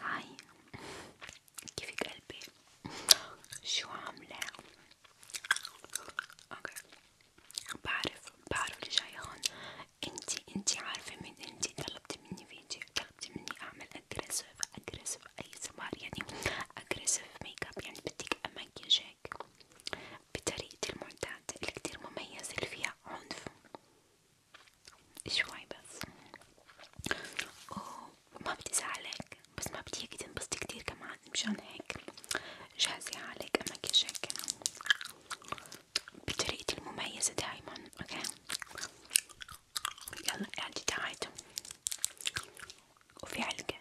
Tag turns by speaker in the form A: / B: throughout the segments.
A: هاي كيفك قلبي شو عاملة اوكي بعرف بعرف اللي جاي هون انتي انتي عارفة مين انتي طلبتي مني فيديو طلبتي مني اعمل اجريسف اجريسف اي سمار يعني aggressive makeup يعني بدك أميجك بطريقة المعتاد اللي كتير مميزة اللي فيها عنف شوي بس وما بدي زعلك بس ما بدي اياكي تنبسطي كتير كمان مشان هيك جهزي حالك أماكيجك بطريقتي المميزة دايما اوكي يلا قاعدة تعايدوا وفي علقة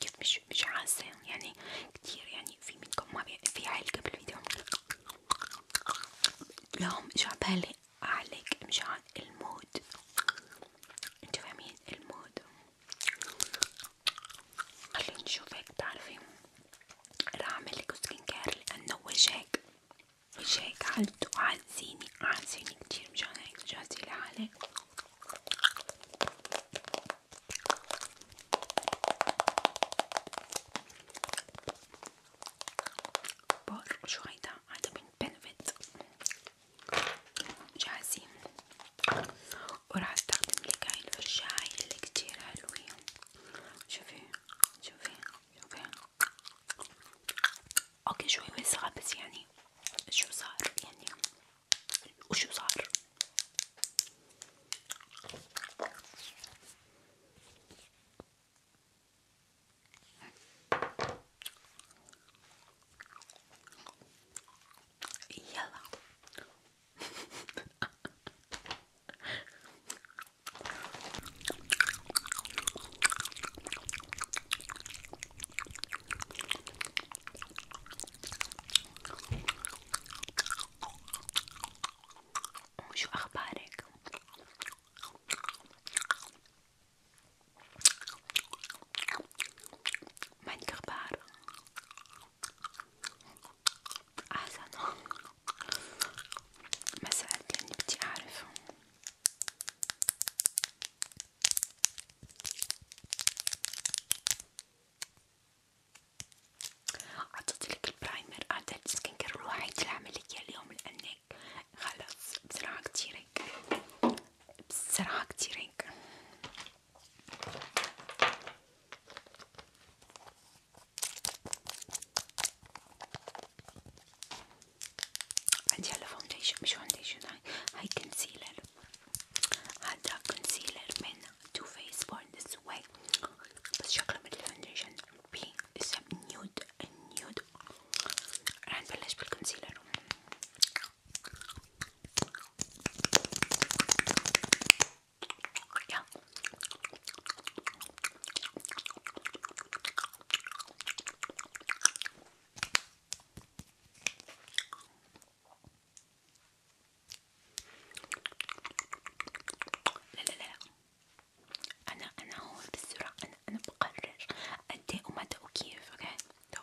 A: كيف مش حاسة يعني كتير يعني في منكم ما في علقة بالفيديو لهم مش عبالي أعلق مشان المود انتو فاهمين المود خليني نشوفك بتعرفي راح اعملك سكين كير لانه وجهك وجهك حالته عازيني كتير مشان هيك جاهزة لحالك بار وشهيدا هذا من بنفيت جاهزين وراح استخدم لك هاي الفرشاة اللي كتير حلوين شوفي شوفي شوفي اوكي شوي صار بس يعني شو صار يعني وشو صار يلا وشو أخبارك؟ ما عندك أخبار؟ أحسن ما سألتني بدي أعرف عطيتلك البرايمر هذا السكين كير الوحيد العملية اليوم لأنك خلاص بسرعة كتيرين بسرعة كتيرين عندي هلا فاونديشن مش فاونديشن هاي هاي كونسيلر هذا كونسيلر من تو فيس بورن ذس واي بس شكله مثل الفاونديشن بي اسم نيود نيود راح نبلش بالكونسيلر يا لا لا لا انا انا هون بالسرعة انا انا بقرر قد إيه ومتى وكيف اوكي طب.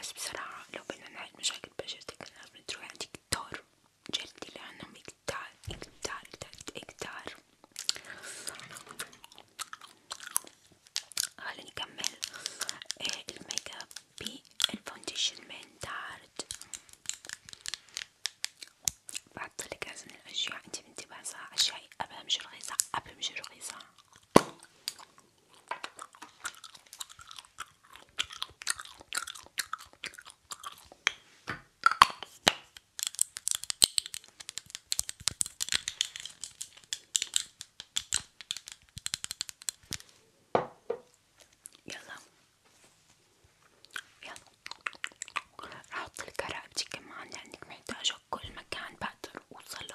A: بس بصراحة لو بدنا نحل مشاكل بشرتك لازم تروحي عند دكتور جلدي لأنهم كتار كتار كتار خليني أكمل إيه، الميك اب بالفاونديشن من دارت بحطلك لازم الأشياء انتي من تبعزها أشياء قبل مش رخيصة قبل مش رخيصة يلا يلا راح احط الكرع بتي كمان لانك محتاجه كل مكان بقدر اوصله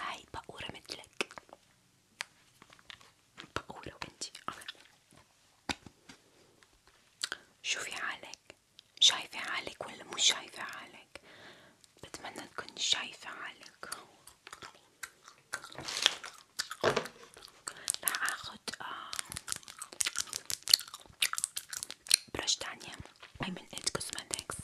A: هاي بقورة مثلك بقورة وانتي شوفي حالك شايفة حالك ولا مو شايفة حالك بتمنى تكوني شايفة حالك رح اخد آه، برش تانية هاي من إيد كوزماتكس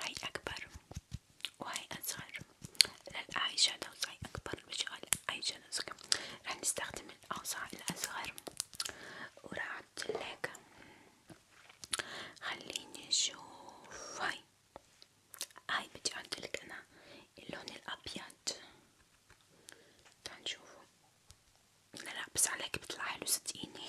A: هاي أكبر وهاي أصغر لا هاي شادوز هاي أكبر بشغل هاي شادوز راح نستخدم الأوسع الأصغر وراح أحطلك خليني أشوف هاي هاي بدي أحطلك أنا اللون الأبيض تعال نشوفه لا لا بس عليك بطلع حلو صدقيني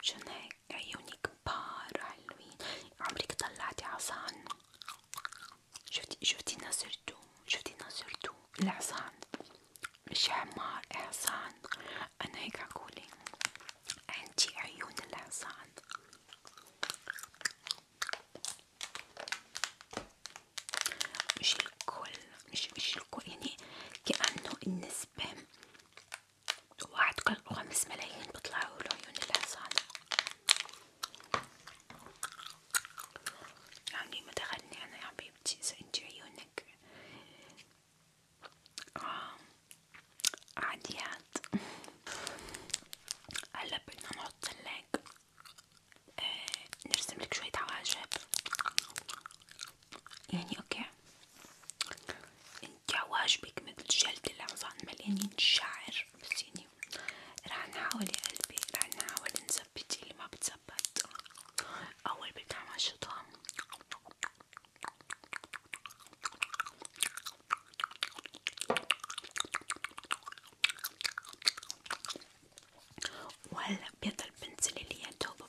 A: مشان هيك عيوني كبار حلوين عمرك طلعتي عصان شفتي شفتي نصرتو شفتي نصرتو العصان مش حمار عصان انا هيك عقولي عندي عيون العصان مش الكل مش مش الكل يعني كأنه النسبة واحد كان خمس ملايين بطلعوا العيون الحصانة يعني ما أنا يا حبيبتي إذا انتي عيونك آه. عاديات هلا بدنا نحط لك آه، شوية عواجب يعني اوكي انت عواجبك مثل جلد العظام مليانين شعر بسيني رح نحاول يا قلبي رح نحاول نثبت اللي ما بتثبت اول بتعمل شطام وهلا بيضل بنزل اللي هي توبه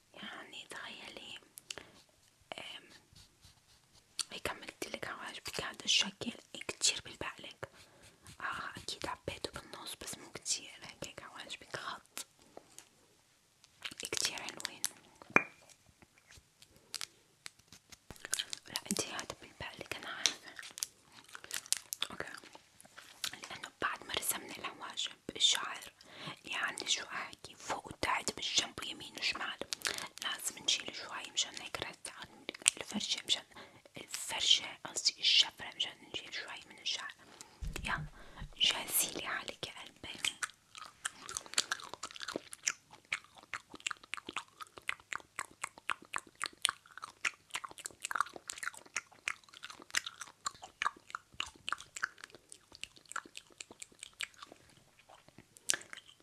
A: يعني تخيلي هيك عملتلك عواجبك هذا الشكل إيه، كتير بالبالك اه اكيد عبيته بالنص بس مو كتير هيك هيك عواجبك خط كتير حلوين لا انتي هذا بالبالك انا عارفة اوكي لانه بعد ما رسمنا العواجب جنب الشعر يعني شو احكي فوق وتحت بالجنب يمين وشمال لازم نشيل شوي مشان هيك الفرشة مشان الفرشة قصدي الشفرة مشان نشيل شوي من الشعر يلا جهزي لي حالك يا قلبي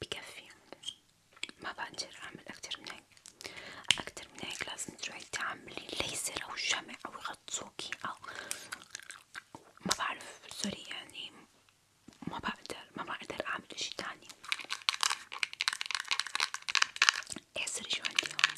A: بكفي ما بقدر اعمل اكتر من هيك اكتر من هيك لازم تروحي تعملي ليزر او شمع او يغطسوكي او ما بعرف سوري يعني ما بقدر ما بقدر اعمل اشي تاني احسري إيه، شو عندي هون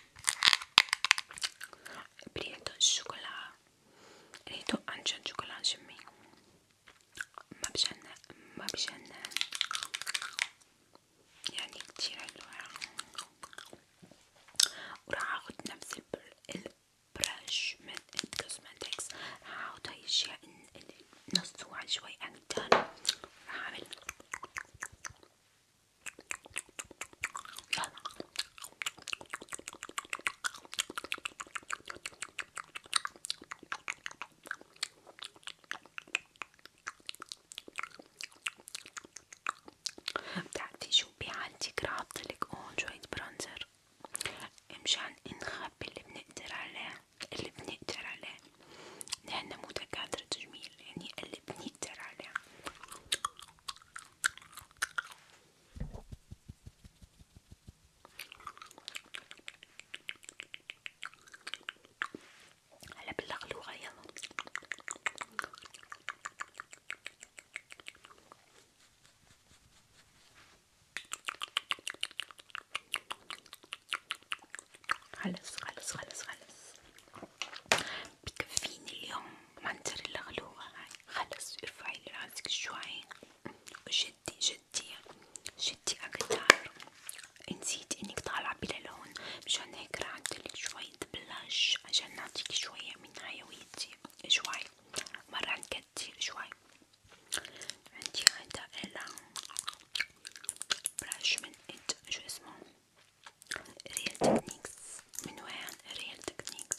A: بريتو الشوكولا ريتو انشان شوكولا شمي ما بجنن ما بجنن يعني كتير حلوة وراح اخد نفس البرش من الكوزماتكس راح احط هاي الاشياء اللي نصوعا شوي اقدر راح اعمل بتعرفي شو بيعالجك راح احطلك هون شوية برونزر مشان نخبي اللي بنقدر عليه اللي بنقدر عليه لأن مو دكاترة تجميل يعني قلبني كتير عليها هلا باللغلوغة يلا خلص خلص خلص خلص بكفيني اليوم منتريلا غلوة هاي خلص ارفعي راسك شوي وشدي شدي شدي اكتر نسيت انك طالعة بلا لون مشان هيك راح ادلك شوية بلاش عشان نعطيك شوية من حيويتي شوي مرة نكتر شوي عندي هذا الا بلاش من انت شو اسمه ريال تكنيكس من وين ريال تكنيكس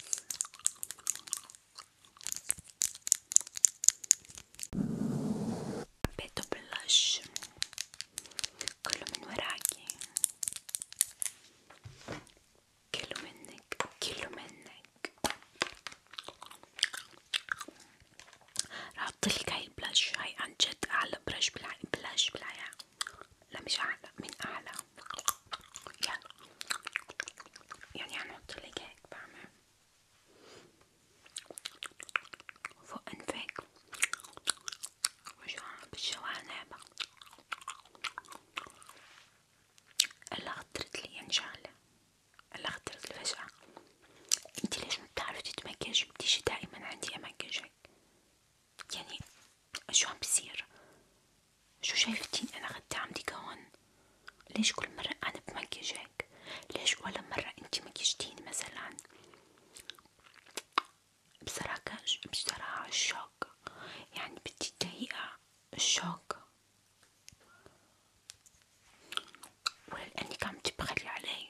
A: حبيتو بلاش كله من وراكي كله منك كله منك راح حطلك هاي البلاش هاي عن جد اعلى برش بالع... بلاش بالحياة لا مش اعلى من اعلى يلا يعني حنحطلك هيك بعمل فوق انفك بالجوانب هلا خطرتلي يعني شغلة هلا خطرتلي فجأة انتي ليش ما بتعرفي تتمكجي بتيجي دائما عندي امكجك يعني شو عم بصير شو شايفتين انا خدامتك هون ليش كل مرة انا بمكجك ليش ولا مرة انتي مكجتيني مثلا بصراحة بصراحة الشوك يعني بدي دقيقة الشوك ولا لأنك عم تبخلي علي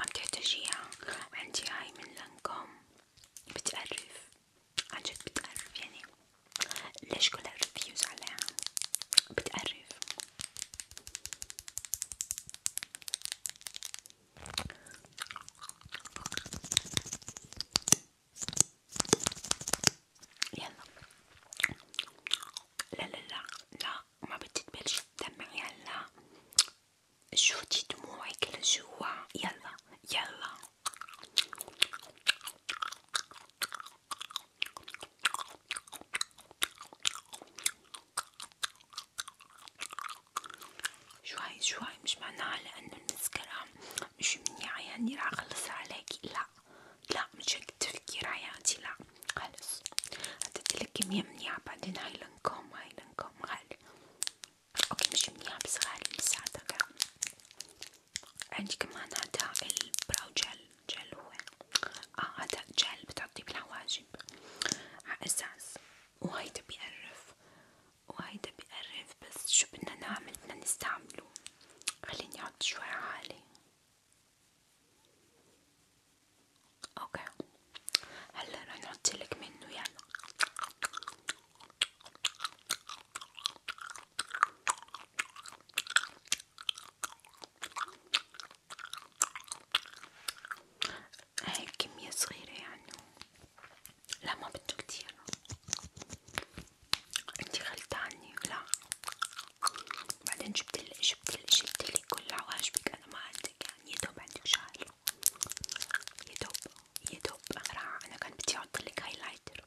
A: عم تحتاجيها عندي هاي من لانكوم بتقرف عنجد بتقرف يعني ليش كل الريفيوز عليها بتقرف يلا لا لا لا لا ما بدي تبلش تدمعي هلا شوتي دموعك لجوا يلا يلا شوي شوي مش معناها لأنه المسكرة مش منيعة يعني راح أخلصها عليكي لا لا مش هيك تفكير حياتي لا خلص عطيتلك كمية منيعة بعدين هاي لنكم هاي لنكم غالي اوكي مش منيح بس غالي يساعدك عندي كمان هدا البراو جل جل هو اه هدا جل بتعطيه بالحواجب ع اساس وهيدا بيقرف وهيدا بيقرف بس شو بدنا نعمل بدنا نستعمله خليني احط شوي عالي اوكي هلا رح نحطلك منه يعني هاي كمية صغيرة يعني لا ما بده كتير انتي غلطة عني لا بعدين جبتلي جبتلي جبتلي كل عواشبك انا ما عندي بنتك يعني يدوب عندك شعر يدوب يدوب راح انا كان بدي احطلك هايلايتر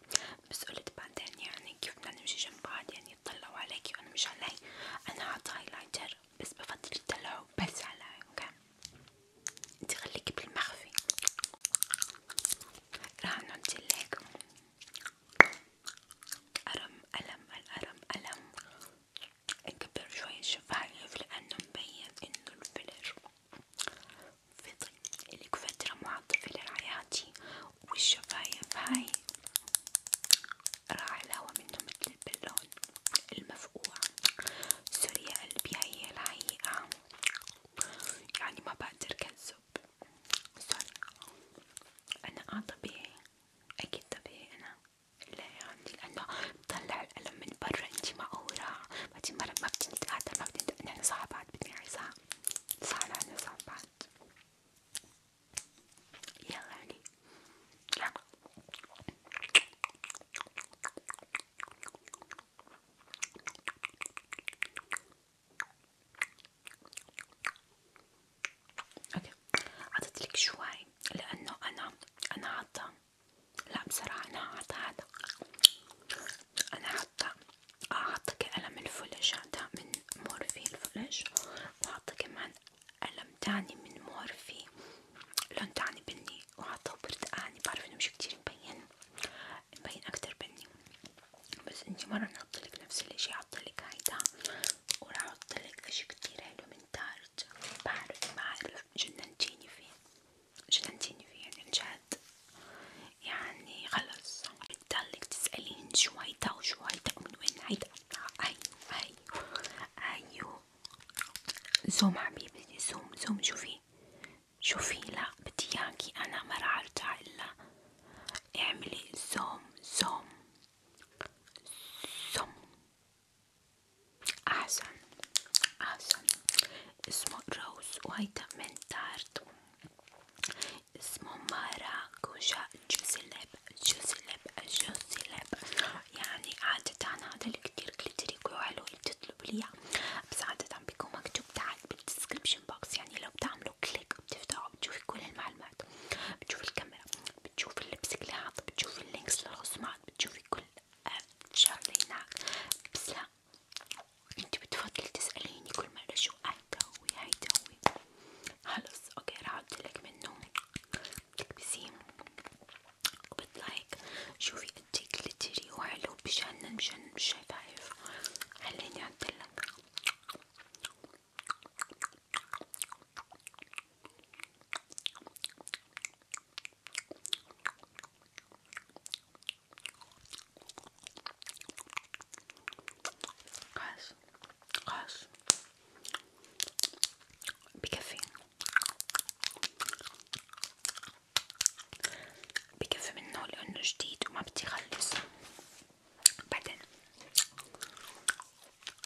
A: بس قلت بعدين يعني كيف بدنا نمشي جنب بعض يعني يطلعوا عليكي وانا مش علي انا حاطة هايلايتر بس بفضل يطلعوا بس علي اوكي انتي خليكي بالمخفي راح نعطيلك ألم ألم الألم ألم نكبر شوية الشفايف لأنه مبين إنه الفيلر فضل إلك فترة معطل فيلر حياتي والشفايف هاي راح الهوا منه مثل البالون المفقوع سوري يا قلبي هي الحقيقة يعني ما بقدر كذب سوري أنا آه طبيعي أكيد طبيعي أنا لا عندي لأنه بطلع الألم من برا انتي ما أورا بعدين مرة ما بتنتقاطع ما بتنتقاطع نحن صاحبات بدنا عزام صح نحن صاحبات يلا علي يلا اوكي عطيت لك شوي لانه انا انا عطا لا بصراحه انا عطا هذا انا عطا عطا كألم الفلج هذا من مورفي الفلج وعطا كمان ألم تاني من مورفي لون تاني بني وعطا برتقاني بعرف انه مش كتير مبين مبين اكتر بني بس انتي مرة نحطلك نفس الاشي عطلك هيدا وراح احطلك اشي كتير حلو من تارت بعرف بعرف جننتيني فيه جننتيني فيه عنجد يعني خلص بتضلك تسألين شو هيدا وشو هيدا ومن وين هيدا هي هي ايو زوم حبيبتي زوم زوم شوفي شوفي لا بدي اياكي انا ما راح ارجع الا اعملي زوم زوم سم أحسن أحسن اسمه روز وهيدا من تارت اسمه ماراكوجا جوزلب جوزلب جوزلب يعني عادة هذا اللي كتير كلتريك وحلو تطلب ليه بس عادة بيكون مكتوب تحت بالديسكريبشن بوكس يعني لو بتعملوا كليك بتفتحوا بتشوفي كل المعلومات بتشوفي الكاميرا بتشوفي اللبس كلياته بتشوفي اللينكس للرسومات بتشوفي كل شغلة هناك بس لا انتي بتفضلي تسأليني كل مرة شو هيداوي هيداوي خلص اوكي راح اعطيلك منه بتكبسيه وبتلايك شوفي قديه جلتري وحلو بجنن بجنن مش شفايف خليني اعطيلك قاس قاس بكفي بكفي منه لأنه جديد وما بدي خلص بعدين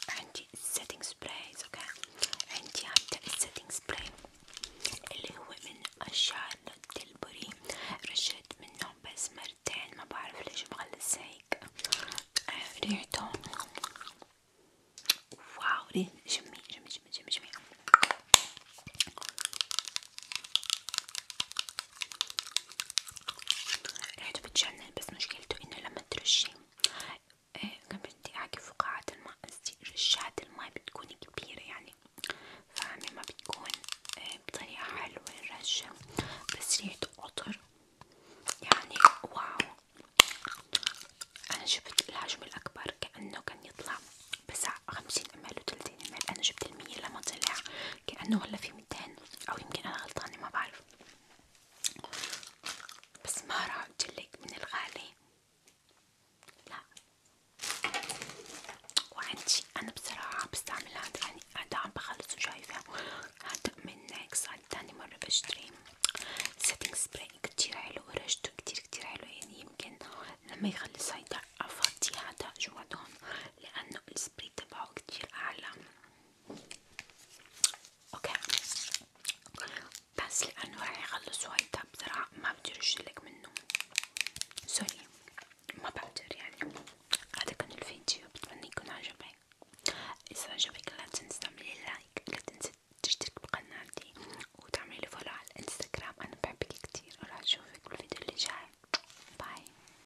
A: عندي السيتنج سبراي اوكي عندي هذا السيتنج سبراي اللي هو من شارلوت تيلبوري رشيت منه بس مرتين ما بعرف ليش مغلس هيك ريحته واو ريح جميل جميل جميل جميل جميل ريحته بتجنن بس مشكلته انه لما ترشي قبل دقيقة فقاعة الماء قصدي رشات الماء بتكون كبيرة يعني فاهمة ما بتكون إيه، بطريقة حلوة الرشة بس ريحته قطر يعني واو أنا جبت الحجم الأكبر كأنه كان يطلع بس خمسين مل وتلاتين مل أنا جبت المية لما طلع كأنه هلا في ميتين أو يمكن أنا غلطانة ما بعرف بس ما راح أجلك من الغالي لا وعندي أنا بصراحة بستعمل هاد يعني هاد عم بخلصه شايفة هاد من نيكس هاد تاني مرة بشتري سيتنج سبراي كتير حلو ورشته كتير كتير حلو يعني يمكن لما يخلص هيدا أفضي هادا جوا لأنه السبراي تبعه كتير أعلى اوكي بس لانه راح يخلص وايد بسرعة ما بقدر اشيلك منه سوري ما بقدر يعني هذا كان الفيديو بتمنى يكون عجبك اذا عجبك لا تنسى تعملي لايك لا تنسى تشترك بقناتي وتعملي فولو على الانستغرام انا بحبك كتير وراح اشوفك بالفيديو اللي جاي باي